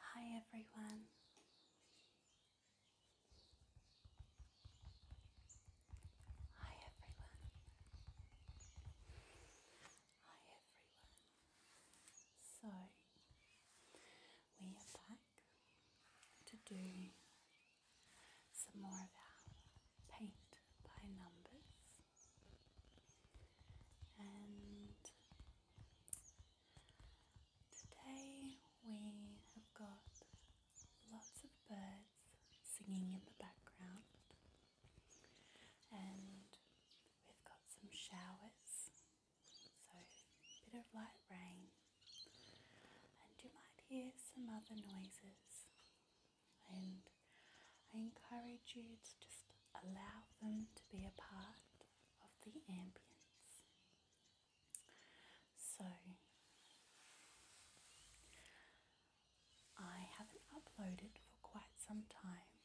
Hi everyone. Hi everyone. Hi everyone. So we are back to do some more of our paint by numbers and today we have got lots of birds singing in the background and we've got some showers so bit of light rain and you might hear some other noises and I encourage you to just allow them to be a part of the ambience. So, I haven't uploaded for quite some time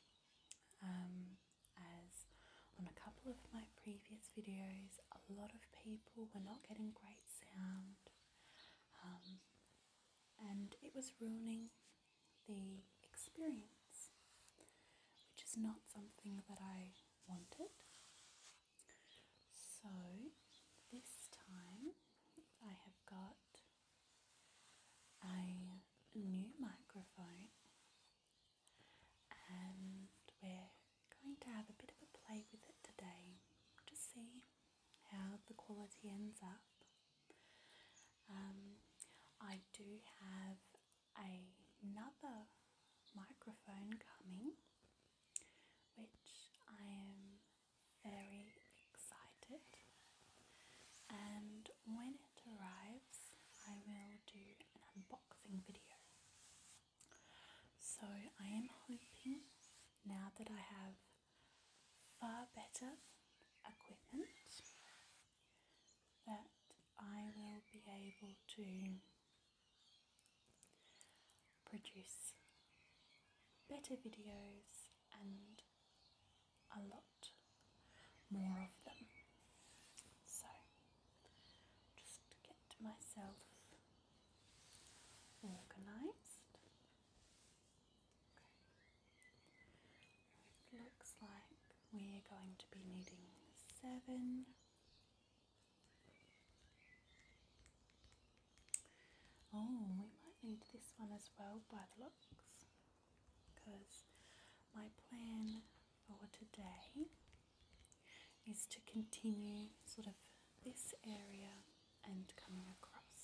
um, as on a couple of my previous videos a lot of people were not getting great sound um, and it was ruining the experience, which is not something that I wanted. So this time I have got a new microphone and we're going to have a bit of a play with it today to see how the quality ends up. Um, I do have another microphone coming, which I am very excited. And when it arrives, I will do an unboxing video. So I am hoping now that I have far better equipment that I will be able to produce better videos and a lot more of them. So, just get myself organised looks like we're going to be needing seven. Oh, we might need this one as well by the looks because my plan for today is to continue sort of this area and coming across.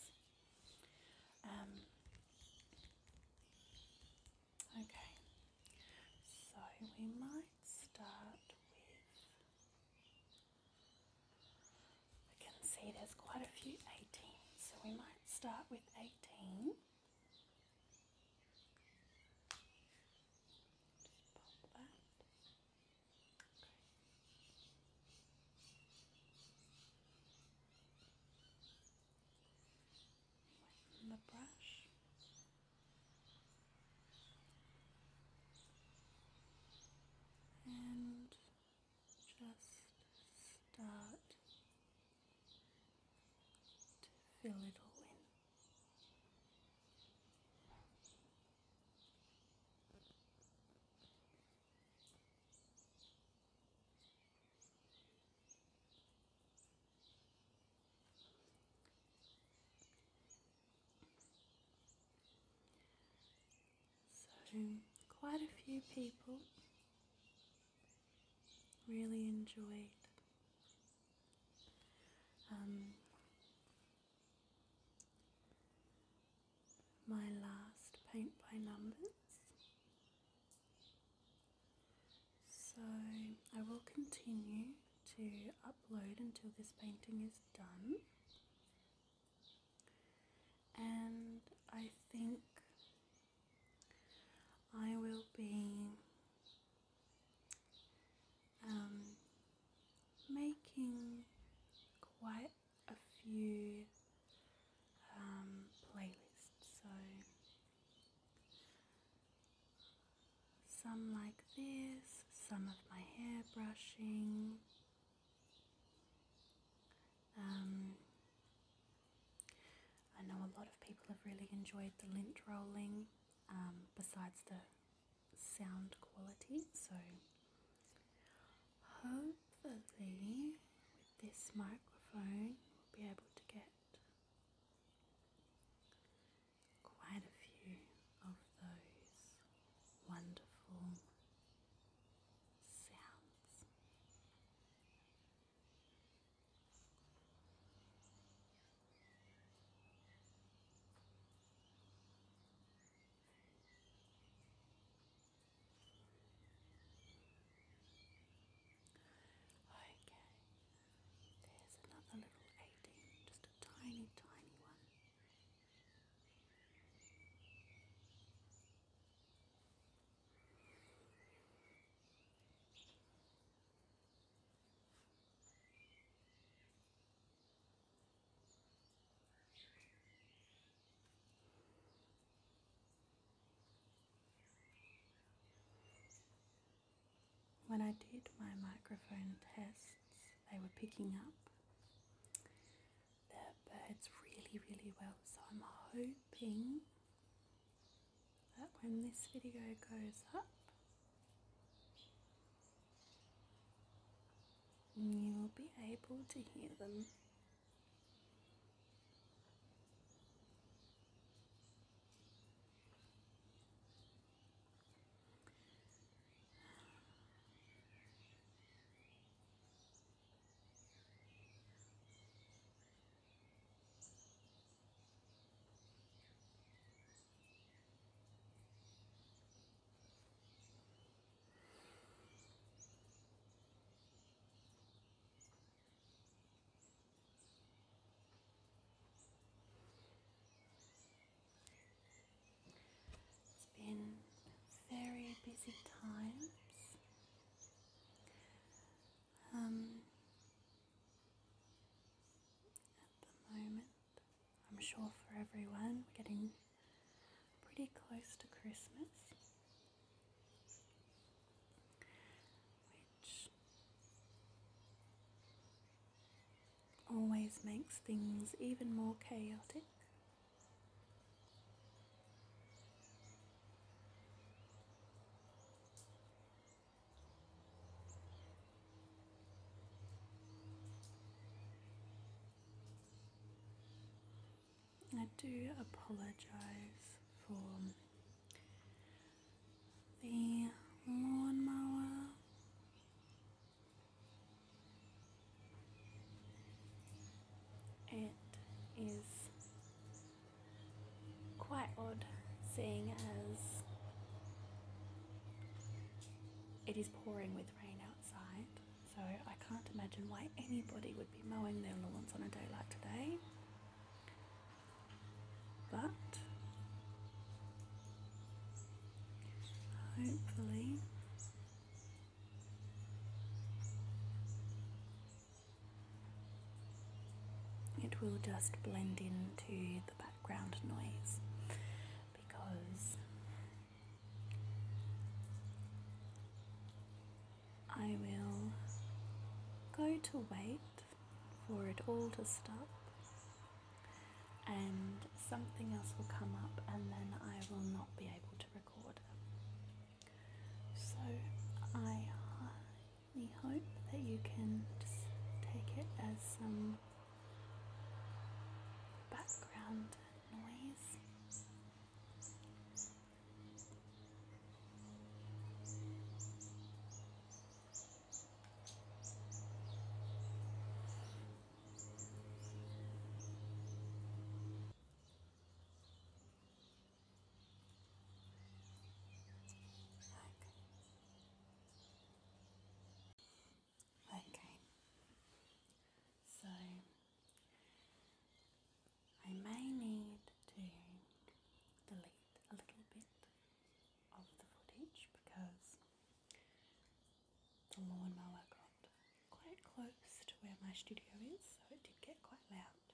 Um, okay, so we might start with. I can see there's quite a few 18, so we might start with 18. Okay. the brush. And just start to fill it all in. So, quite a few people really enjoyed um, my last paint by numbers. So I will continue to upload until this painting is done. And I think I will be um, making quite a few um, playlists. So some like this, some of my hair brushing. Um, I know a lot of people have really enjoyed the lint rolling um, besides the sound quality so Hopefully, with this microphone, we'll be able to get quite a few of those wonderful sounds. Okay, there's another little 18, just a tiny, tiny one. When I did my microphone tests, they were picking up the birds really, really well. So I'm hoping that when this video goes up, You'll be able to hear them. It's been very busy times. Um, at the moment, I'm sure for everyone. We're getting pretty close to Christmas, which always makes things even more chaotic. I do apologise for the lawnmower. It is quite odd seeing as it is pouring with rain outside. So I can't imagine why anybody would be mowing their lawns on a day like today. But hopefully it will just blend into the background noise because I will go to wait for it all to stop, and something else will come up, and then I will not be able to record. So I highly hope that you can just take it as some background noise. Look. Okay, so I may need to delete a little bit of the footage because the lawnmower got quite close to where my studio is, so it did get quite loud.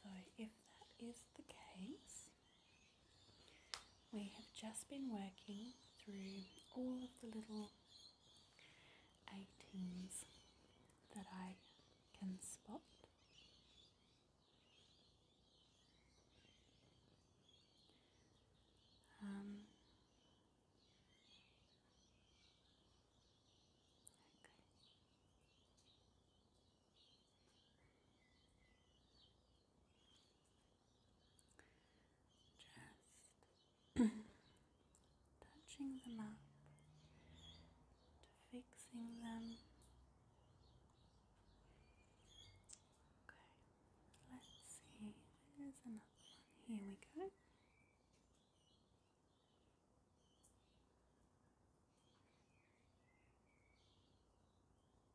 So, if that is the case, we have just been working through all of the little 18s that I can spot. Um, just touching them up fixing them. Okay, let's see. There's another one. Here we go.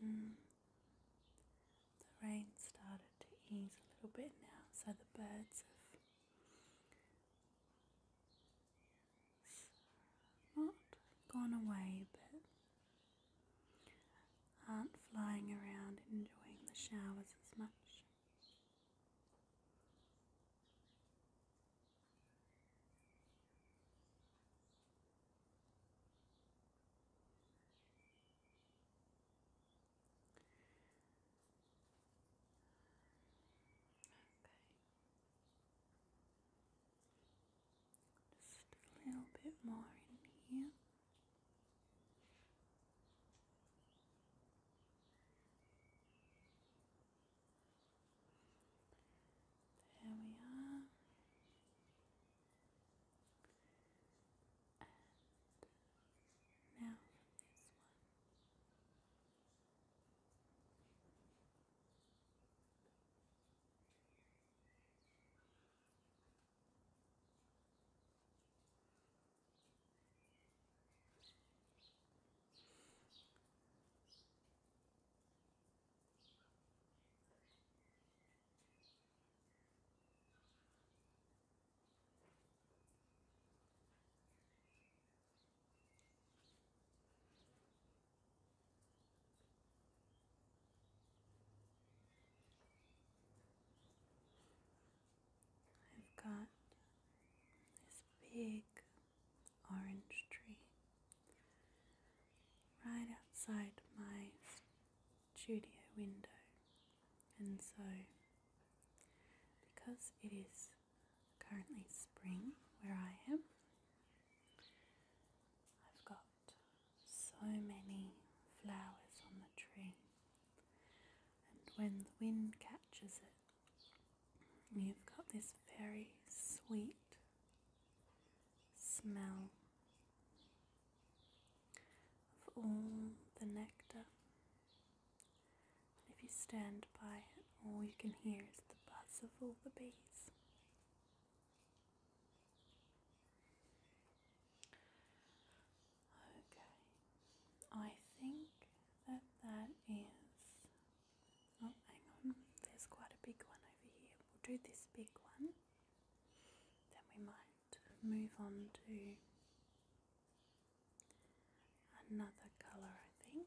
Hmm. The rain started to ease a little bit now, so the birds have not gone away but aren't flying around enjoying the showers as much. Okay. Just a little bit more in here. There we are. And now this one. I've got this big orange tree right outside my studio window. And so, because it is currently spring where I am, I've got so many flowers on the tree. And when the wind catches it, You've got this very sweet smell of all the nectar. And if you stand by it, all you can hear is the buzz of all the bees. Okay, I think that that is Oh, hang on, there's quite a big one over here. We'll do this big one, then we might move on to another colour, I think.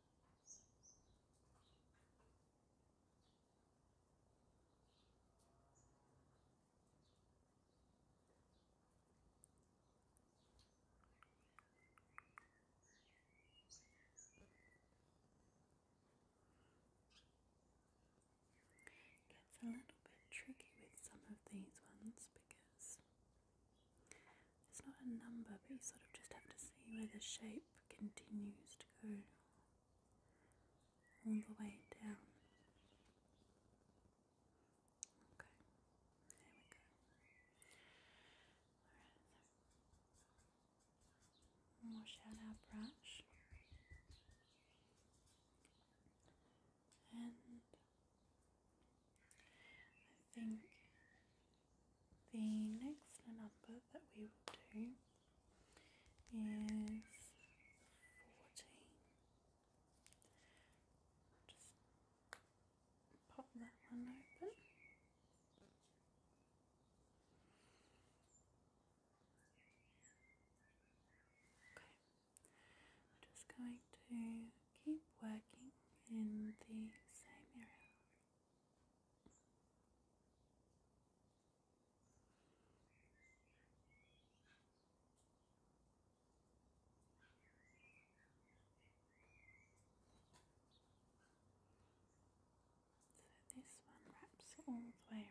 It a little bit tricky with some of these ones because it's not a number, but you sort of just have to see where the shape continues to go all the way down. Okay, there we go. Alright, so wash out and I think the next number that we will do is 14. Just pop that one open. Okay, just going to keep working in the same area. So this one wraps all the way around.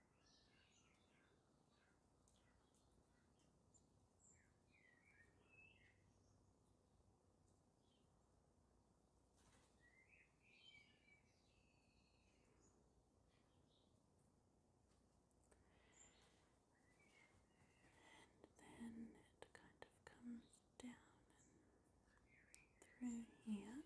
And then it kind of comes down through here.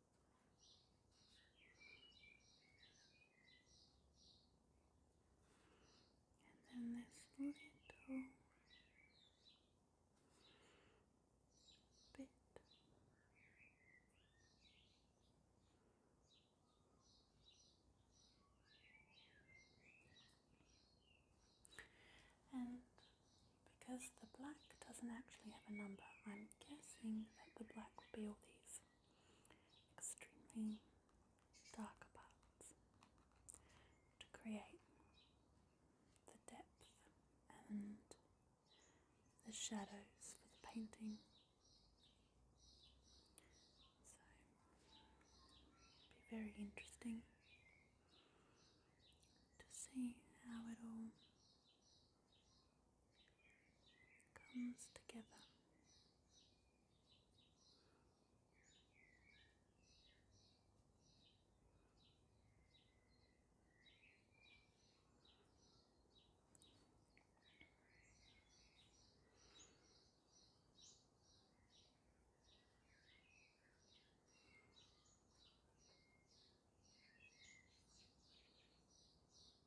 And then this little bit and because the black doesn't actually have a number, I'm I'm guessing that the black will be all these extremely darker parts to create the depth and the shadows for the painting. So, it would be very interesting to see how it all comes together.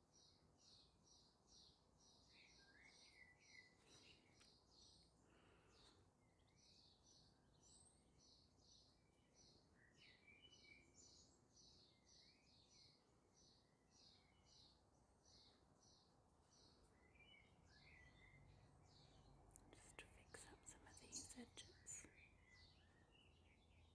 Just to fix up some of these edges.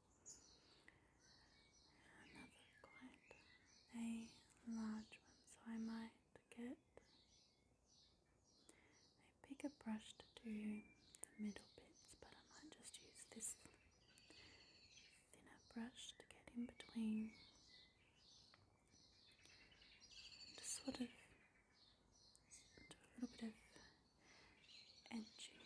Another quite a large one, so I might get a bigger brush to do the middle bits, but I might just use this thinner brush to get in between and sort of do a little bit of edging.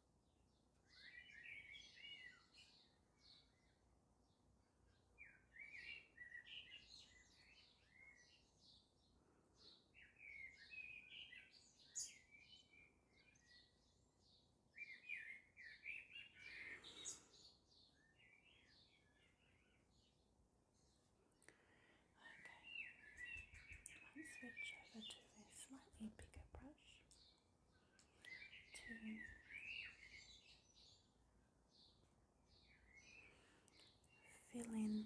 Okay, let's switch over to a slightly bigger brush two, feeling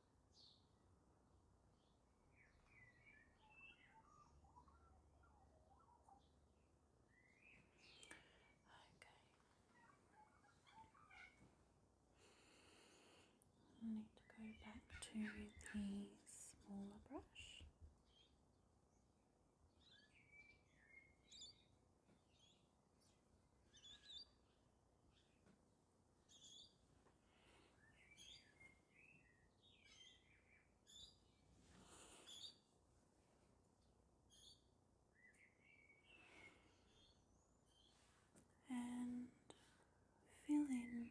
I need to go back to the smaller brush and feeling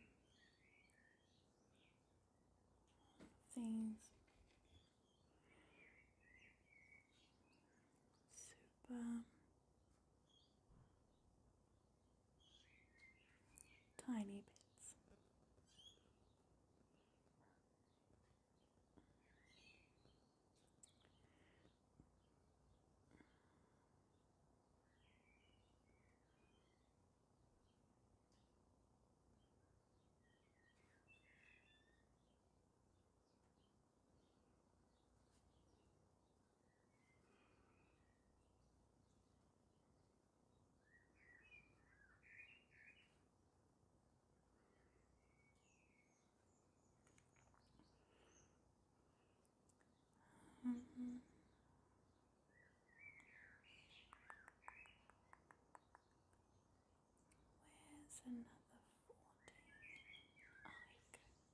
things. Super um, tiny bits. Mm -hmm. Where's another forty?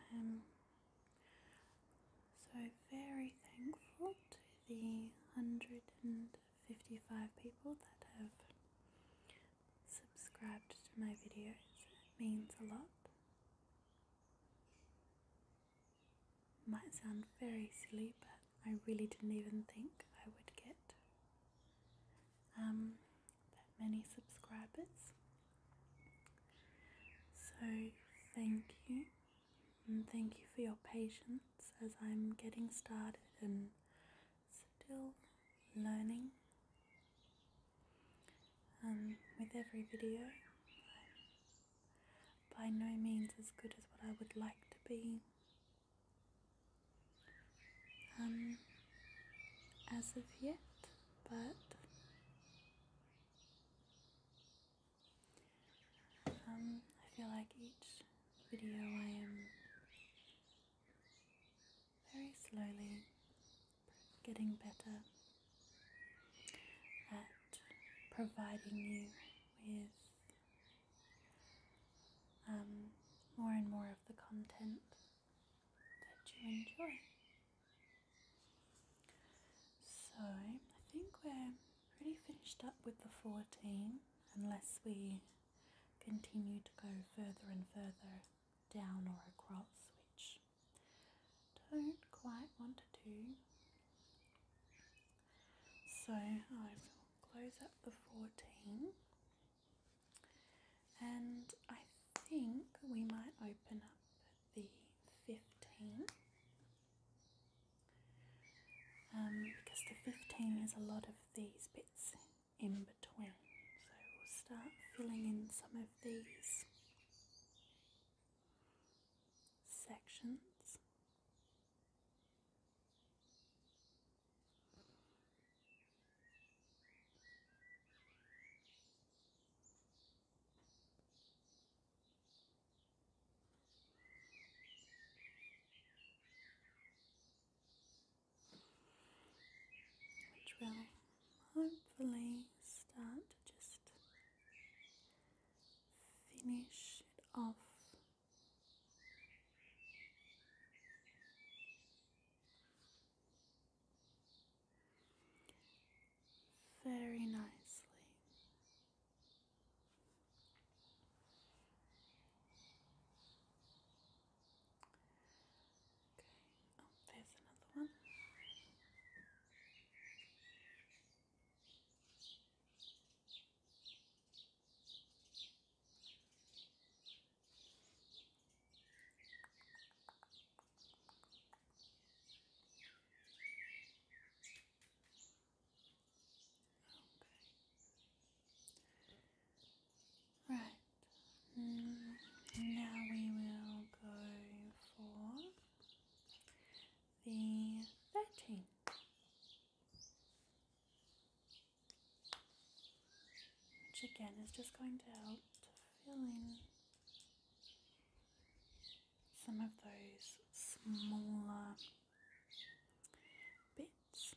I am so very thankful to the 155 people that have subscribed to my videos. It means a lot. Might sound very silly, but I really didn't even think I would get um, that many subscribers. So, thank you, and thank you for your patience as I'm getting started and still learning um, with every video. I'm by no means as good as what I would like to be. Um, as of yet, but um, I feel like each video I am very slowly getting better at providing you with um, more and more of the content that you enjoy. So I think we're pretty finished up with the 14 unless we continue to go further and further down or across which don't quite want to do. So I will close up the 14 and I think we might open up the 15 um, because the 15 is a lot of these bits in between so we'll start filling in some of these sections. Which will hopefully start to just finish it off. Very nicely. Okay, oh, there's another one. Right. Mm, now we will go for the 13. Which again is just going to help to fill in some of those smaller bits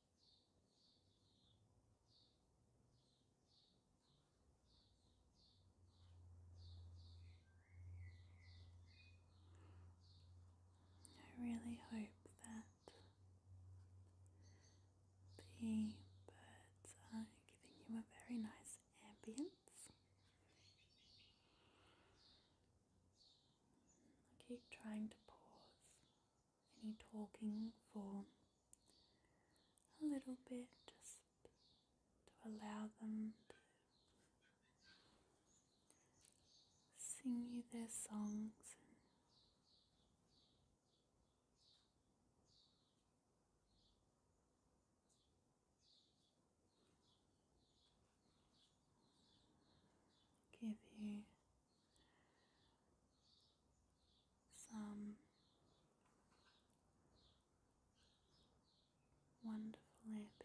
I really hope that the birds are giving you a very nice ambience. keep trying to pause any talking for a little bit just to allow them to sing you their songs and give you some wonderful ambience.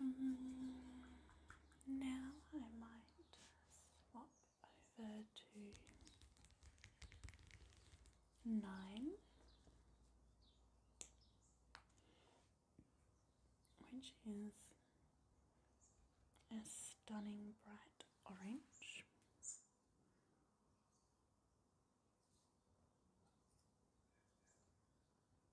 Mm-hmm. now I might swap over to nine, which is a stunning bright orange.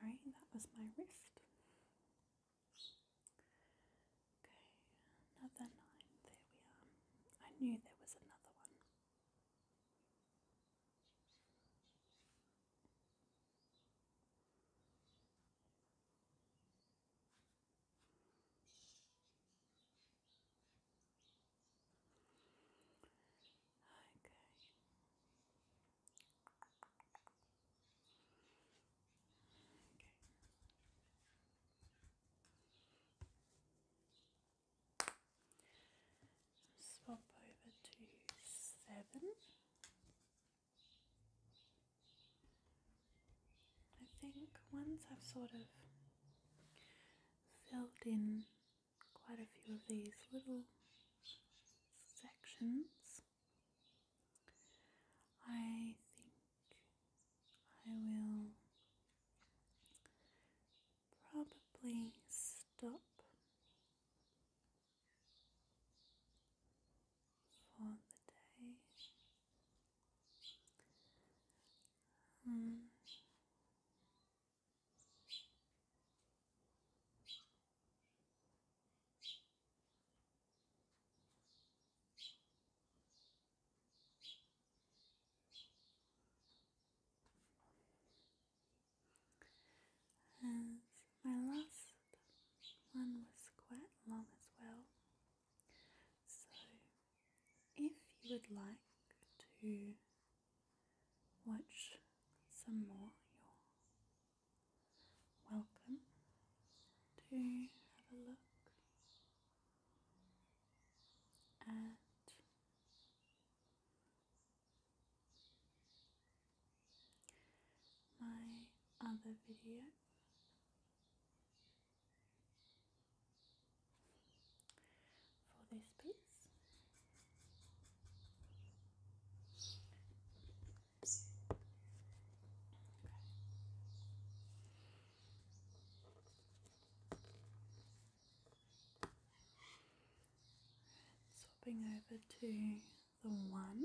Sorry, that was my wrist. Okay, another nine. There we are. I knew there was another one. Okay. Swap over to seven. I think once I've sort of filled in quite a few of these little sections, I think I will probably stop for the day. Um, and my last one was quite long as well. So, if you would like to watch some more, you're welcome to have a look and my other video for this piece swapping over to the one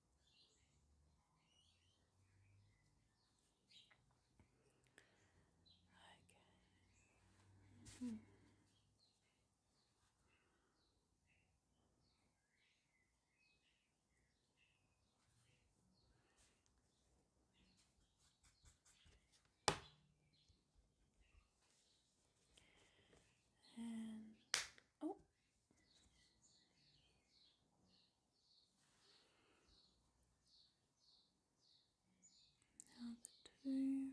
Okay. Mm -hmm. And oh, now the two.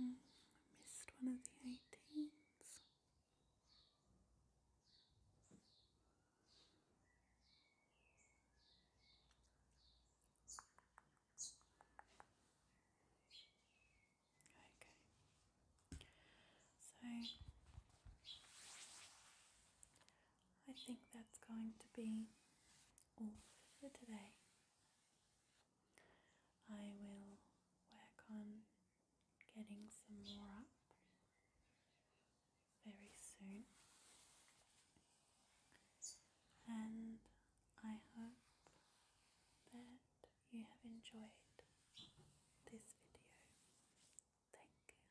Mm, I missed one of the eighteens. Okay. So I think that's going to be all for today. I will work on getting some more up very soon. And I hope that you have enjoyed this video. Thank you.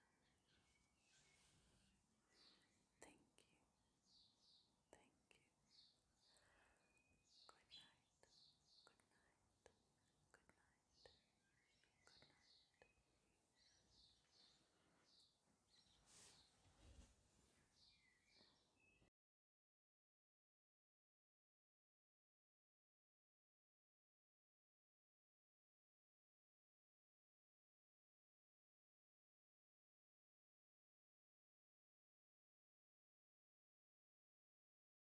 Thank you. Thank you. Good night. Good night. Good night night. Good night.